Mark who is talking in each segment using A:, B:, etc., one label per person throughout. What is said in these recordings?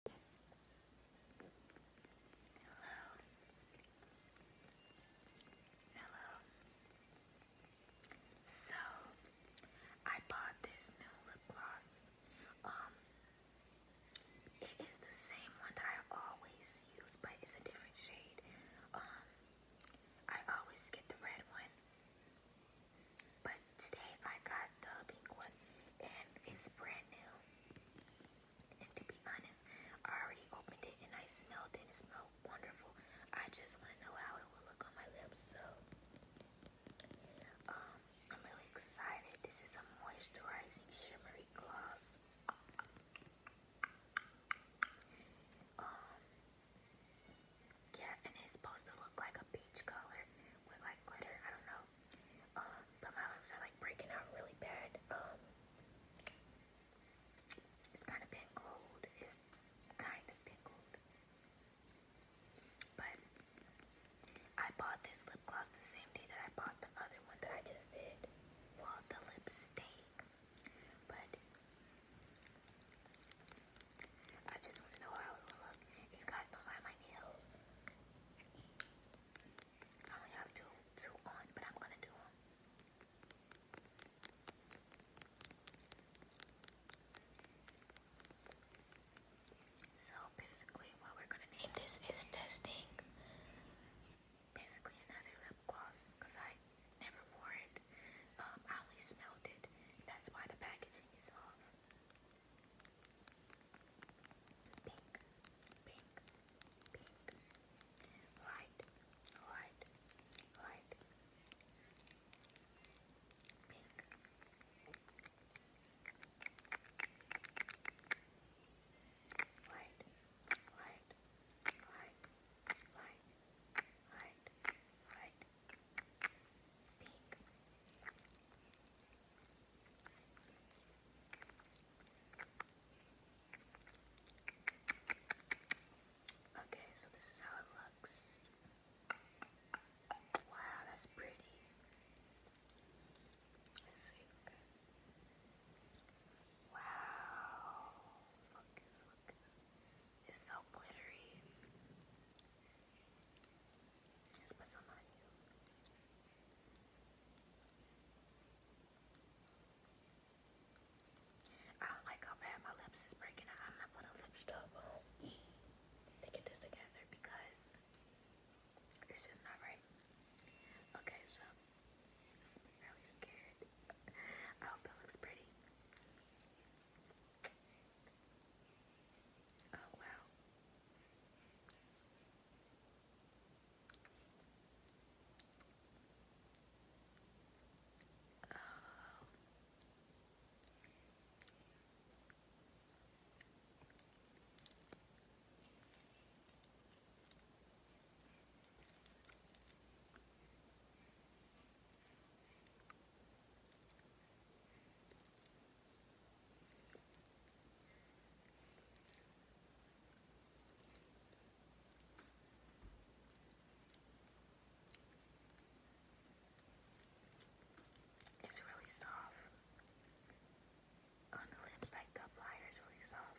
A: Hello. Hello. So, I bought this new lip gloss. Um, it is the same one that I always use, but it's a different shade. Um, I always get the red one. But today I got the pink one and it's brand new. And to be honest, I already opened it and I smelled it and it smelled wonderful. I just want to know how it will look on my lips. So um, I'm really excited. This is a moisturizing shimmery gloss. Um, yeah, and it's supposed to look like a peach color with like glitter. I don't know. Um, but my lips are like breaking out really bad. Um, it's kind of been cold. It's kind of been cold. But I bought this lip gloss the same day that I bought the other one that I just did. Well, the lipstick. But I just want to know how it will look. You guys don't like my nails. I only have two, two on, but I'm gonna do them. So basically, what we're gonna name this is testing. Basically, another lip gloss because I never wore it. Um, I only smelled it. That's why the packaging is off. Pink, pink, pink. Light, light, light. Pink. Light, light, light, light, light, light. Okay, so this is how it looks. Wow, that's pretty. Let's see. Okay. Wow. Focus, focus. It's so glittery. I don't like how bad my lips is breaking I'm not putting lip stuff on to get this together because it's just not right. Okay, so really scared. I hope it looks pretty. Oh, wow. Oh. It's really soft. On the lips, like the apply is really soft.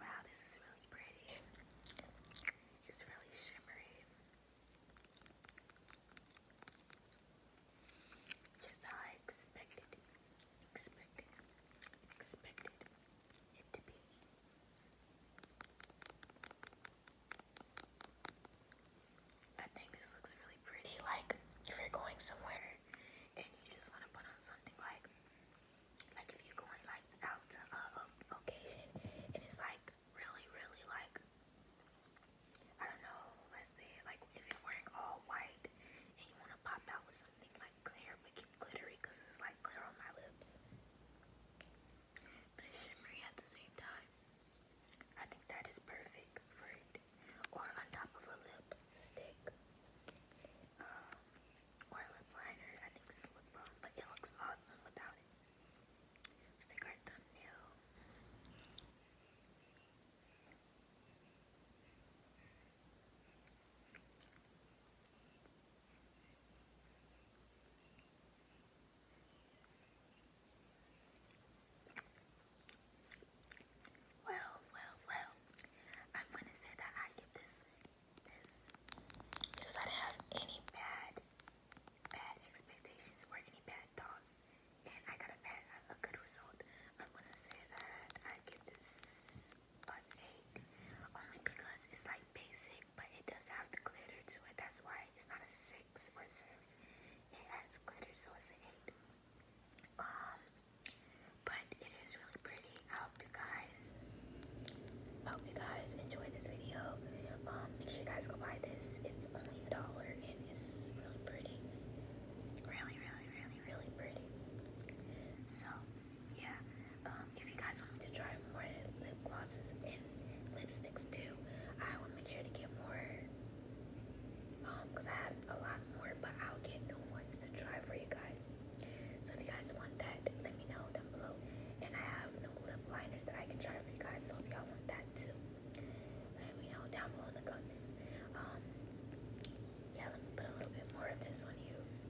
A: Wow, this is really pretty. It's really shimmery. Just how I expected, expected, expected it to be. I think this looks really pretty. Like, if you're going somewhere and you just want to put on something like, like if you're going like out to a, a and it's like really, really like, I don't know, let's say like if you're wearing all white and you want to pop out with something like clear but keep glittery because it's like clear on my lips, but it's shimmery at the same time. I think that is perfect for it. Or on top of a lipstick. Um, or lip liner. I think it's a lip but it looks awesome without it. let our thumbnail. Well, well, well. I'm gonna say that I give this because I didn't have any bad bad expectations or any bad thoughts, and I got a good result. I'm gonna say that I give this an eight only because it's like basic but it does have the glitter to it. That's why it's not a six or seven. It has glitter, so it's an eight. Um, but it is really pretty. I hope you guys, I hope you guys enjoyed this video. Um, make sure you guys go buy this. It's only a dollar and it's really pretty. Really, really, really, really pretty. So, yeah. Um, if you guys want me to try more lip glosses and lipsticks too, I will make sure to get more, because um, I have a lot more, but I'll get new ones to try for you guys. So if you guys want that, let me know down below. And I have new lip liners that I can try for you guys, so if y'all want that too, let me know down below in the comments. Um, yeah, let me put a little bit more of this on you.